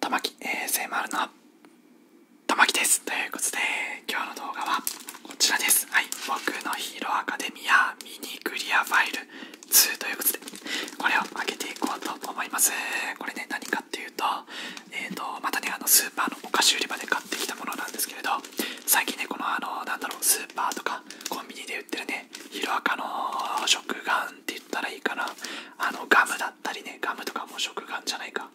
たまき a s m のたまきですということで今日の動画は。こちらです。はい。僕のヒーローアカデミアミニクリアファイル2ということで、これを開けていこうと思います。これね、何かっていうと、えっ、と、またね、あの、スーパーのお菓子売り場で買ってきたものなんですけれど、最近ね、このあの、なんだろう、スーパーとかコンビニで売ってるね、ヒロアカの食玩って言ったらいいかな。あの、ガムだったりね、ガムとかも食玩じゃないか。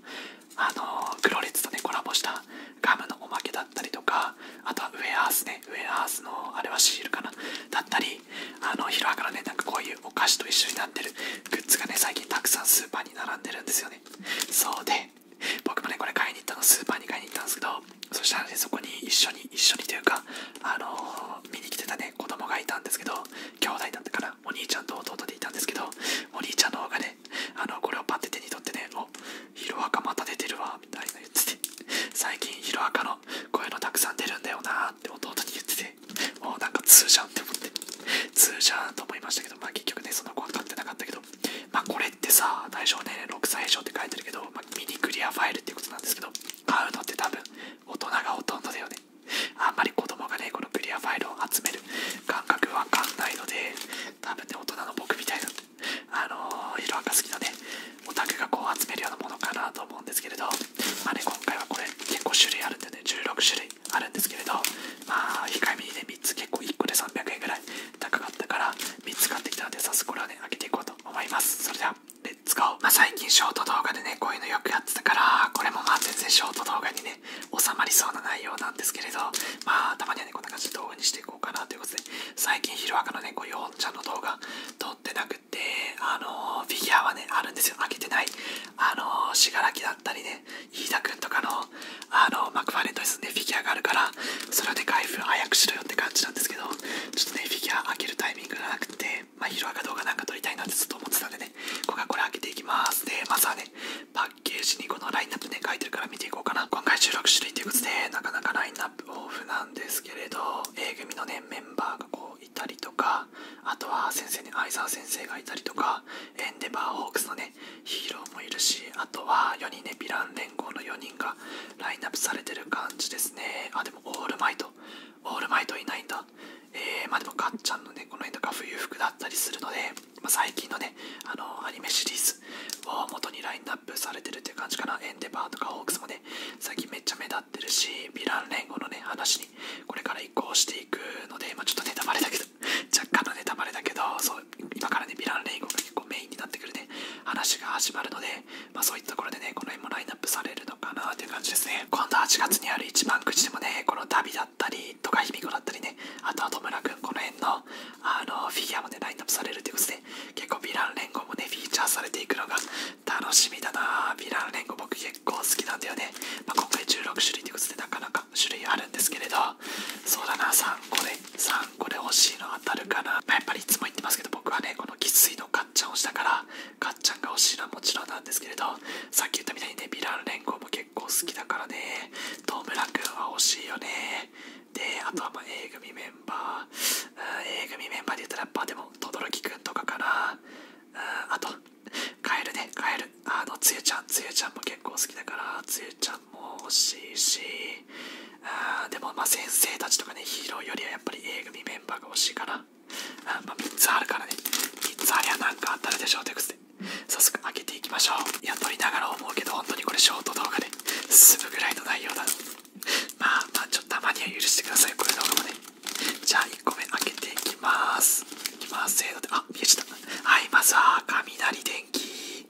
あの、黒列とね、コラボしたガムのおまけだったりとか、あとはウェアースね、ウェアハースのあれはシールかなだったりあの広ロアカねなんかこういうお菓子と一緒になってるグッズがね最近たくさんスーパーに並んでるんですよねそうで僕もねこれ買いに行ったのスーパーに買いに行ったんですけどそしたらねそこに一緒に一緒にというかあの見に来てたね子供がいたんですけど兄弟だったからお兄ちゃんと弟でいたんですけどお兄ちゃんの方がね あのこれをパッて手に取ってね「おヒロアカまた出てるわ」みたいな言ってて最近ヒロアカのこういうのたくさん出るんだよなって弟に言っててもうなんか通じゃんって思って通じゃんと思いましたけどまあ結局ねその子は買ってなかったけどまあこれってさ大象年齢6歳以上って書いてるけど、まミニクリアファイルってことなんですけど買うのって多分大人がほとんどだよねあんまり子供がねこのクリアファイルを集める感覚わかんないので多分ね、大人の僕みたいな、あのー、色赤好きのね、オタクがこう集めるようなものかなと思うんですけれど、あね、今回はこれ結構種類あるんでね、16種類あるんですけれど、まあ、控えめにね、3つ結構1個で300円ぐらい高かったから、3つ買ってきたので、早速これはね、開けていこうと思います。それでは、レッツゴー。まあ、最近ショート動画でね、こういうのよくやってたから、これもまあ全然ショート動画にね、収まりそうな内容なんですけれど、まあ、たまにはね、こんな感じで動画にししこうかなということで、最近、ヒロアカのね、こう、ヨンちゃんの動画撮ってなくて、あのフィギュアはね、あるんですよ。開けてない。あのー、信楽だったりね、飯田くんとかの、あのマクファレットですね。フィギュアがあるから、それで開封早くしろよって感じなんですけど、ちょっとね、フィギュア開けるタイミングがなくて、まあ、ヒロアカ動画なんか撮りたいなってずっと思ってたんでね、こここれ開けていきます。で、まずはね、パッケージにこのラインナップね書いてるから見ていこうかな今回収録種類ということでなかなかラインナップオフなんですけれど A 組のねメンバーがこういたりとかあとは先生に相沢先生がいたりとかエンデバーホークスのねヒーローもいるしあとは4人ねヴィラン連合の4人がラインナップされてる感じですねあでもオールマイトオールマイトいないんだえー、まあでもかっちゃんのねこの辺とか冬服だったりするのでま最近のね、あのアニメシリーズを元にラインナップされてるっていう感じかな。エンデバーとかホークスもね、最近めっちゃ目立ってるし、ヴィラン連合のね、話にこれから移行していくので、まちょっとネタバレだけど、若干のネタバレだけど、そう今からね、ヴィラン連合が結構メインになってくるね、話が始まるので、まそういったところでね、この辺もラインナップされるのかなっていう感じですね。今度8月にある一番口でもね、この旅だったり、とか卑弥呼だったりね、あとは戸村君この辺のあのフィギュアもねラインナップされるということで結構ヴィラン連合もねフィーチャーされていくのが楽しみだなヴィラン連合僕結構好きなんだよね、ま今回16種類ということでなかなか種類あるんですけれどそうだな3個で3個で欲しいの当たるかな、まやっぱりいつも言ってますけど僕はねこのきついのかっちゃんをしたからかっちゃんが欲しいのはもちろんなんですけれどさっき言ったみたいにねヴィラン連合も結構好きだからねトムラ君は欲しいよね。で、あとはま A 組メンバー。うん、A 組メンバーで言ったら、やっぱでも、轟くんとかかな。うん、あと、帰るね、帰る。あの、つゆちゃん、つゆちゃんも結構好きだから、つゆちゃんも欲しいし。うん、でも、まあ先生たちとかね、ヒーローよりはやっぱり A 組メンバーが欲しいかな。3つあるからね。3つありゃなかあたらでしょうというこで。早速開けていきましょういや撮りながら思うけど本当にこれショート動画で済むぐらいの内容だまあまあちょっとたまには許してくださいこれ動画もねじゃあ1個目開けていきますいきますせーのであ見えちゃったはいまずは雷電気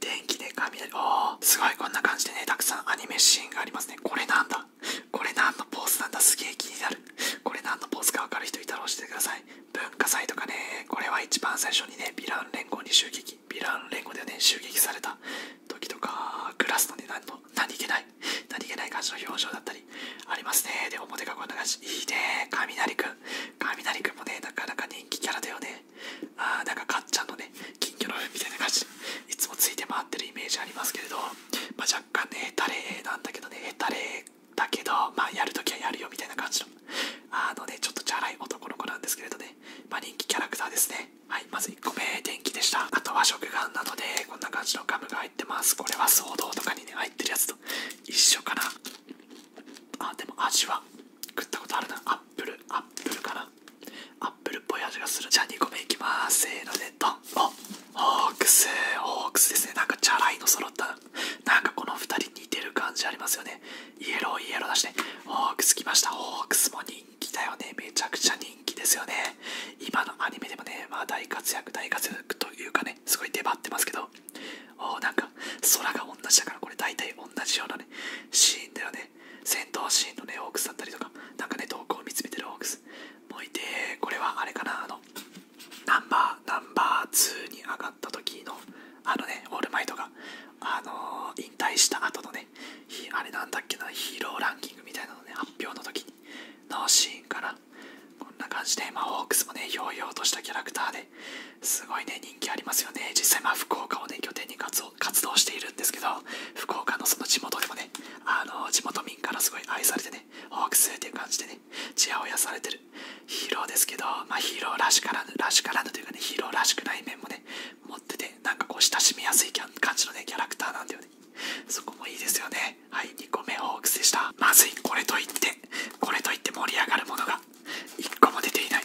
電気で雷おおすごいこんな感じでねたくさんアニメシーンがありますねこれなんだこれ何のポーズなんだすげえ気になるこれ何のポーズかわかる人いたら教えてください文化祭とかね、これは一番最初にね、ヴィラン連合に襲撃、ヴィラン連合でね、襲撃された時とか、クラスのね、何の何気ない、何気ない感じの表情だったり、ありますね。で、表がこんな感じ。いいね、雷くん。雷くんもね、なかなか人気キャラだよね。あー、なんかかっちゃんのね、金魚のみたいな感じ。いつもついて回ってるイメージありますけれど、まあ、若干ね、ヘタレなんだけどね、ヘタレだけど、まあ、やるときはやるよみたいな感じの、あのね、ちょっとチャラい男の子なんですけれどね、まあ、人気キャラクターですね。はい、まず1個目、電気でした。あとは食ガなどで、こんな感じのガムが入ってます。これは騒動とかにね、入ってるやつと一緒かな。あ、でも味は、食ったことあるな。アップル、アップルかな。アップルっぽい味がする。じゃあ2個目いきます。せーので、ドン。ホークスホークスですねなんかチャラいの揃ったなんかこの二人似てる感じありますよねイエローイエロー出して、ホークス来ましたホークスも人気だよねめちゃくちゃ人気ですよね今のアニメでもね、まあ、大活躍大活躍というかねすごい出張ってますけどおなんか空が同じだからこれ大体同じようなねシーンだよね戦闘シーンのねホークスだったりとかなんかね瞳孔を見つめてるホークスもういてこれはあれかなあのナンバーナンバー2に上がった時のあのねオールマイトがあの引退した後のねあれなんだっけなヒーローランキングみたいなのね発表の時にのシーンからこんな感じで、まホークスもねひょうひょうとしたキャラクターですごいね人気ありますよね実際まあ福岡をね拠点に活動しているんですけど福岡のその地元でもねあの地元民からすごい愛されてねホークスっていう感じでねねちやほやされてるヒーローですけど、まあ、ヒーローらしからぬらしからぬというかねヒーローらしくない面もね持っててなんかこう親しみやすい感じのねキャラクターなんだよねそこもいいですよねはい2個目ホークスでしたまずいこれといってこれといって盛り上がるものが1個も出ていない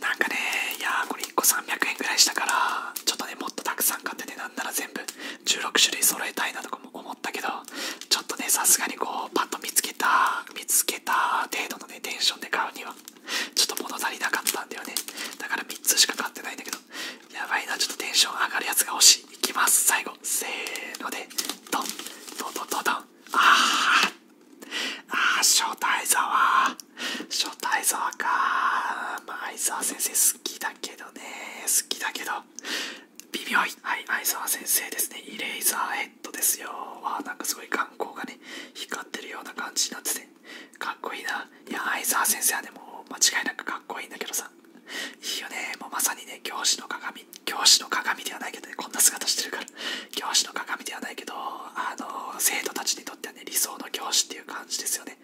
なんかねいやこれ1個300円ぐらいしたからちょっとねもっとたくさん買ってね。なんなら全部16種類揃えたいなとかも思ったけどちょっとねさすがにこうパッと見つけた見つけた程度のねテンションで買うにはちょっと物足りなかったんだよねだから3つしか買ってないんだけどやばいなちょっとテンション上がるやつが欲しいいきます最後せーのでドンドンドドドンあーあ初代沢初代沢かま相沢先生好きだけどね好きだけど微妙いはい相沢先生ですねイレイザーヘッドですよわなんかすごい眼光がね光ってるような感じになっててかっこいいないや相沢先生はねもう間違いなくかっこいいんだけどさいいよねもうまさにね教師の鏡教師の鏡ではないけどねこんな姿してるから教師の鏡ではないけどあの生徒たちにとってはね理想の教師っていう感じですよね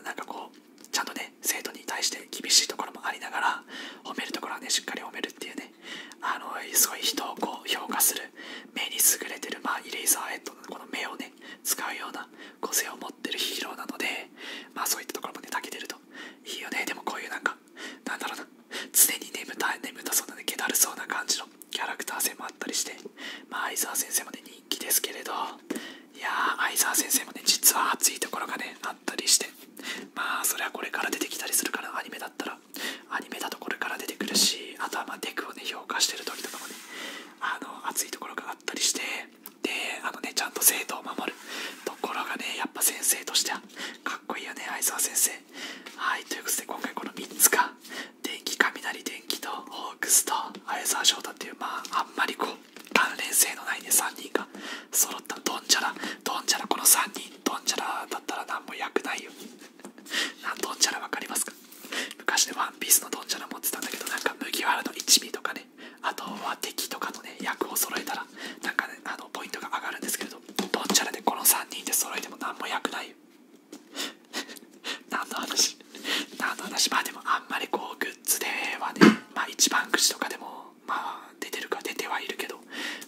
うんなんかこうちゃんとね生徒に対して厳しいところもありながら褒めるところはねしっかり褒めるっていうねあのすごい人をこう評価する目に優れてる、まあ、イレイザーヘッドのこの目をね使うような個性を持ってるヒーローなのでまあそういったところもねたけてるといいよねでもこういうなんかなんだろうな常に眠たい。眠たそうなねけだるそうな感じのキャラクター性もあったりしてまあ相沢先生もねですけれどいやあ。相沢先生もね実は熱いところがねあったりしてまあそれはこれから出てきたりするからアニメだったらアニメだとこれから出てくるしあとはまあデクをね評価してる時とかもねあの熱いところがあったりしてであのねちゃんと生徒を守るところがねやっぱ先生としてはかっこいいよね相沢先生はいということで今回この3つが電気雷電気とホークスと相沢翔太っていうまああんまりこう関連性のないね3人が揃ったドンジャラドンジャラこの3人ドンジャラだったら何も役ないよなドンジャラ分かりますか昔ねワンピースのドンジャラ持ってたんだけどなんか麦わらの一味とかねあとは敵とかのね役を揃えたらなんかねあのポイントが上がるんですけどドンチャラでこの3人で揃えても何も役ないよ 何の話あの私まあでもあんまりこうグッズではねまあ一番くじとかでもまあ出てるか出てはいるけど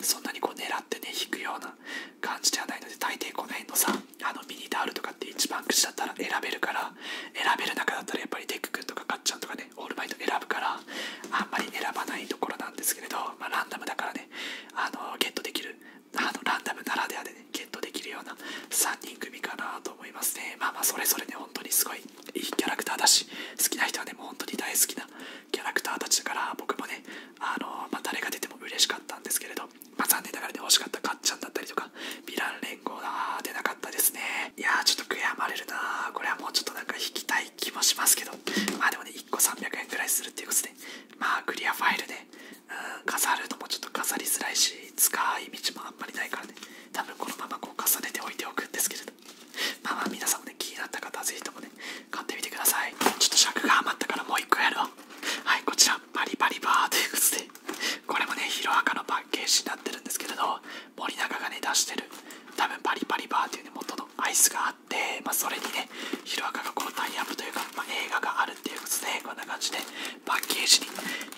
そんなにこう狙ってね引くような感じではないので大抵この辺のさあのミニタールとかって一番くじだったら選べるから選べる中だったらやっぱりデックんとかかっちゃんとかねオールマイト選ぶからあんまり選ばないところなんですけれどまあランダムだからねあのゲットできるあのランダムならではでねゲットできるような3人組かなと思いますね。まあまあそれぞれね、本当にすごいいいキャラクターだし、好きな人はね、もう本当に大好きなキャラクターたちだから、僕もね、あのまあ、誰が出ても嬉しかったんですけれど、まあ、残念ながらね、惜しかったかっちゃんだったりとか、ヴィラン連合だ出なかったですね。いやちょっと悔やまれるなこれはもうちょっとなんか引きたい気もしますけど、まあでもね、1個300円くらいするっていうことで、まあクリアファイルで、うん、飾るともうちょっと飾りづらいし、使い道ものあんりないからね多分このままこう重ねて置いておくんですけれどまあまあ皆さんもね気になった方はぜひともね買ってみてくださいちょっと尺が余ったからもう一個やるうはいこちらパリパリバーというこでこれもねヒロアカのパッケージになってるんですけれど森永がね出してる多分パリパリバーというね元のアイスがあって、まあ、それにねヒロアカがこうタイアップというか、まあ、映画があるっていうことでこんな感じでパッケージに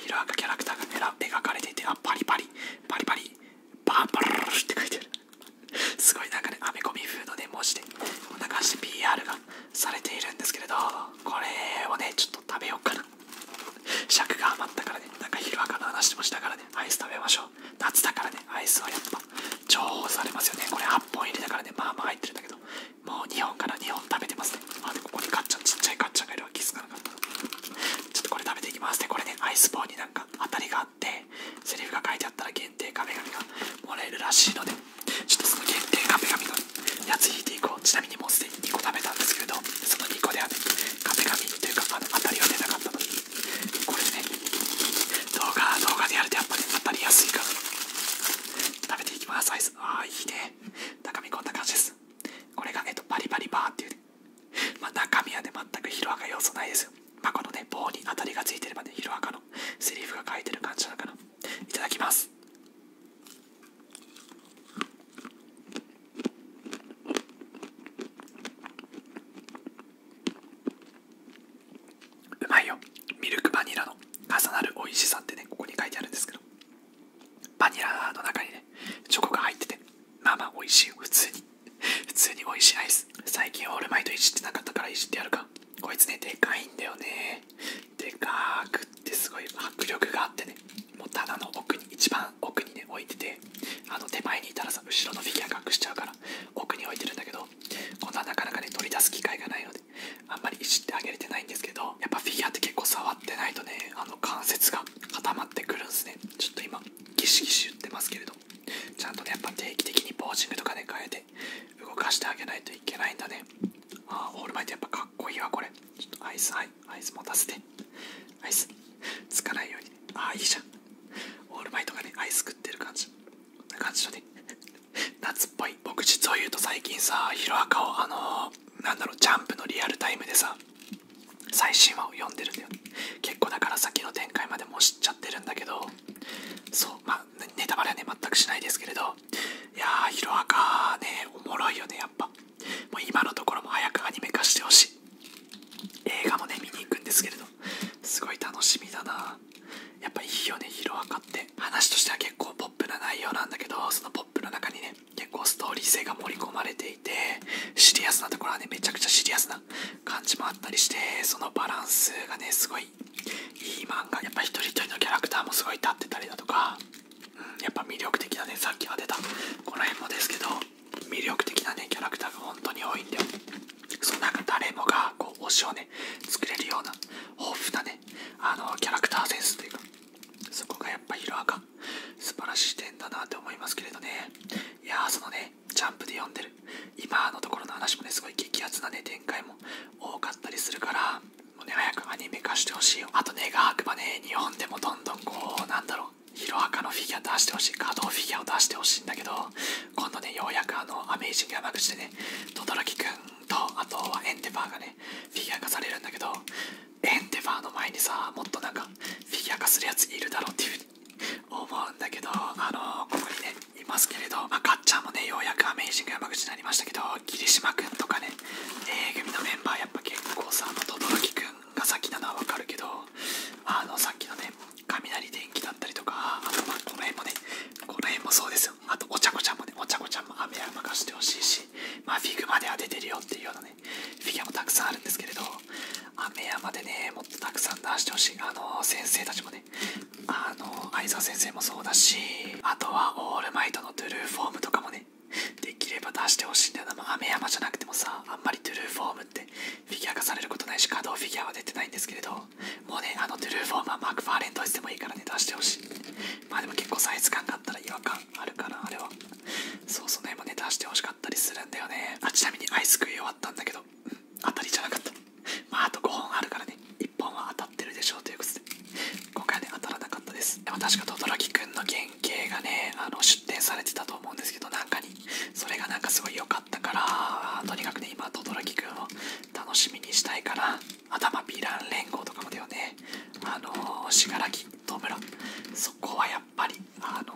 ヒアカキャラクターが描かれていて、あ、パリパリ、パリパリ、パーパルルって書いてる。すごいなんかね、アメコミ風のね、文字で、こんな感じで PR がされているんですけれど、これをね、ちょっと食べようかな。尺が余ったからね、なんか昼赤の話もしたからね、アイス食べましょう。夏だからね、アイスはやっぱ重宝されますよね。これ8本入りだからね、まあまあ入ってるんだけど、もう2本から2本食べてますねあでここにカッちゃんちっちゃいカッちゃんがいるわ気づかなかったちょっとこれ食べていきますでこれねアイスボ棒になんか当たりがあってセリフが書いてあったら限定壁紙がもらえるらしいのでちょっとその限定壁紙のやつ引いていこうちなみにもうすでに2個食べたんですけれどその2個ではね壁紙というかあの当たりは出なかったのでこれでね動画動画でやるとやっぱり、当たりやすいから食べていきますアイスああいいね中身こんな感じです。これが、えっリバリバってう、まあ、中身はね、全くヒロアカ要素ないですよ。まあ、このね、棒に当たりがついてればね、ヒロアカのセリフが書いてる感じなかな。いただきます。うまいよ。ミルクバニラの重なる美味しさってね、ここに書いてあるんですけど。バニラの中にね、チョコが入ってて、ママまあ美味しい普通に。普通に美味しいアイス。最近オールマイトいじってなかったからいじってやるか。こいつね、でかいんだよね。でかくってすごい迫力があってね、もう棚の奥に、一番奥にね、置いてて、あの手前にいたらさ、後ろのフィギュア隠しちゃうから、奥に置いてるんだけど、こんななかなかね、取り出す機会がないのあんまりいじってあげれてないんですけどやっぱフィギュアって結構触ってないとねあの関節が固まってくるんすねちょっと今ギシギシ言ってますけれどちゃんとねやっぱ定期的にポージングとかね変えて動かしてあげないといけないんだねああオールマイトやっぱかっこいいわこれちょっとアイスはいアイス持たせてアイスつかないように、ああいいじゃんオールマイトがねアイス食ってる感じこんな感じのね 夏っぽい僕実を言うと最近さヒロアカをあのなんだろうジャンプのリアルタイムでさ最新話を読んでるんだよ結構だから先の展開までも知っちゃってるんだけどそうまあネタバレはね全くしないですけれどいやーヒロアカねおもろいよねやっぱもう今のところも早くアニメ化してほしい映画もね見に行くんですけれどすごい楽しみだなやっぱいいよね色赤って話としては結構ポップな内容なんだけどそのポップの中にね結構ストーリー性が盛り込まれていてシリアスなところはねめちゃくちゃシリアスな感じもあったりしてそのバランスがねすごいいい漫画やっぱ一人一人のキャラクターもすごい立ってたりだとか、うん、やっぱ魅力的なねさっきは出たこの辺もですけど魅力的なねキャラクターが本当に多いんだよそのか、誰もがこう推しをね作れるような豊富なねあのキャラクターセンスというかそこがやっぱヒロアカ素晴らしい点だなって思いますけれどねいやそのねジャンプで読んでる今のところの話もねすごい激アツなね展開も多かったりするからもうね早くアニメ化してほしいよあとねガークバね日本でもどんどんこうなんだろうヒロアカのフィギュア出してほしい、稼働フィギュアを出してほしいんだけど、今度ねようやくあのアメイジング山口でね轟くんとあとはエンデバーがねフィギュア化されるんだけどエンデバーの前にさもっとなんかフィギュア化するやついるだろうっていうふうに思うんだけどあのここにねいますけれどまあかっちもねようやくアメイジング山口になりましたけど霧島くんとかね A 組のメンバーやっぱ結構さ轟くんが先なのはわかるけどあのさっきのね雷電気だったりとかあとまあこの辺もねこの辺もそうですよあとおゃ子ちゃんもねおゃ子ちゃんも雨や貸してほしいしまフィグまでは出てるよっていうようなねフィギュアもたくさんあるんですけれど雨山でねもっとたくさん出してほしいあの先生たちもねあのー、相沢先生もそうだしあとはオールマイトのトゥルーフォームとかもねできれば出してほしいんだよな、まあ、雨山じゃなくてもさあんまりトゥルーフォームってフィギュア化されることないし稼働フィギュアは出てないんですけれどもうね、あのドゥルーフォーマーマークファーレンドしてもいいからね、出してほしい。まあでも結構サイズ感があったら違和感あるから。あれは。そう、その辺もね、出してほしかったりするんだよね。あ、ちなみにアイス食い終わったんだけど、当たりじゃなかった。まああと5本あるからね、1本は当たってるでしょうということで、今回はね、当たらなかったです。でも確か、轟くんの原型がね、あの出展されてたと思うんですけど、なんかに、それがなんかすごい良かった。かからとにかくね今轟くんを楽しみにしたいから頭ィラン連合とかもだよねあの信楽戸村そこはやっぱりあの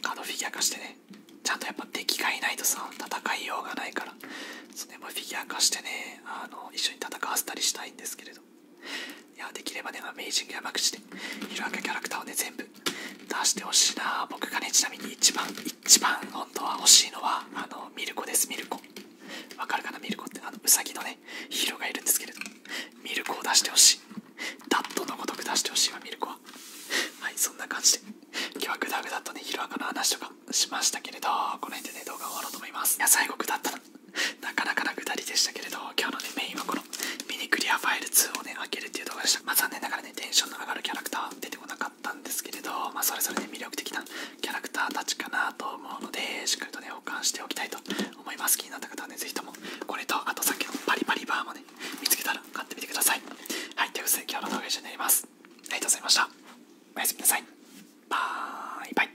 カフィギュア化してねちゃんとやっぱ敵がいないとさ戦いようがないからそれもフィギュア化してねあの一緒に戦わせたりしたいんですけれどいやできればねアメイジング山口でいろんなキャラクターをね全部出してほしいな僕がねちなみに一番一番本当は欲しいのはあのミルコですミルコわかるかなミルコってあのウサギのねヒーローがいるんですけれどミルコを出してほしいダットのごとく出してほしいわミルコははいそんな感じで今日はグダグダとねヒロアカの話とかしましたけれどこの辺でね動画終わろうと思いますいや最後グダったななかなかなグダりでしたけれど今日のねメインはこのミニクリアファイル2をね開けるっていう動画でしたま残念ながらねテンションの上がるキャラクター出てこなかっっんですけれど、まそれぞれ魅力的なキャラクターたちかなと思うのでしっかりとね保管しておきたいと思います気になった方はね是非ともこれとあとさっきのパリパリバーもね見つけたら買ってみてくださいはいということ今日の動画は以上になりますありがとうございましたおやすみなさいバイバイ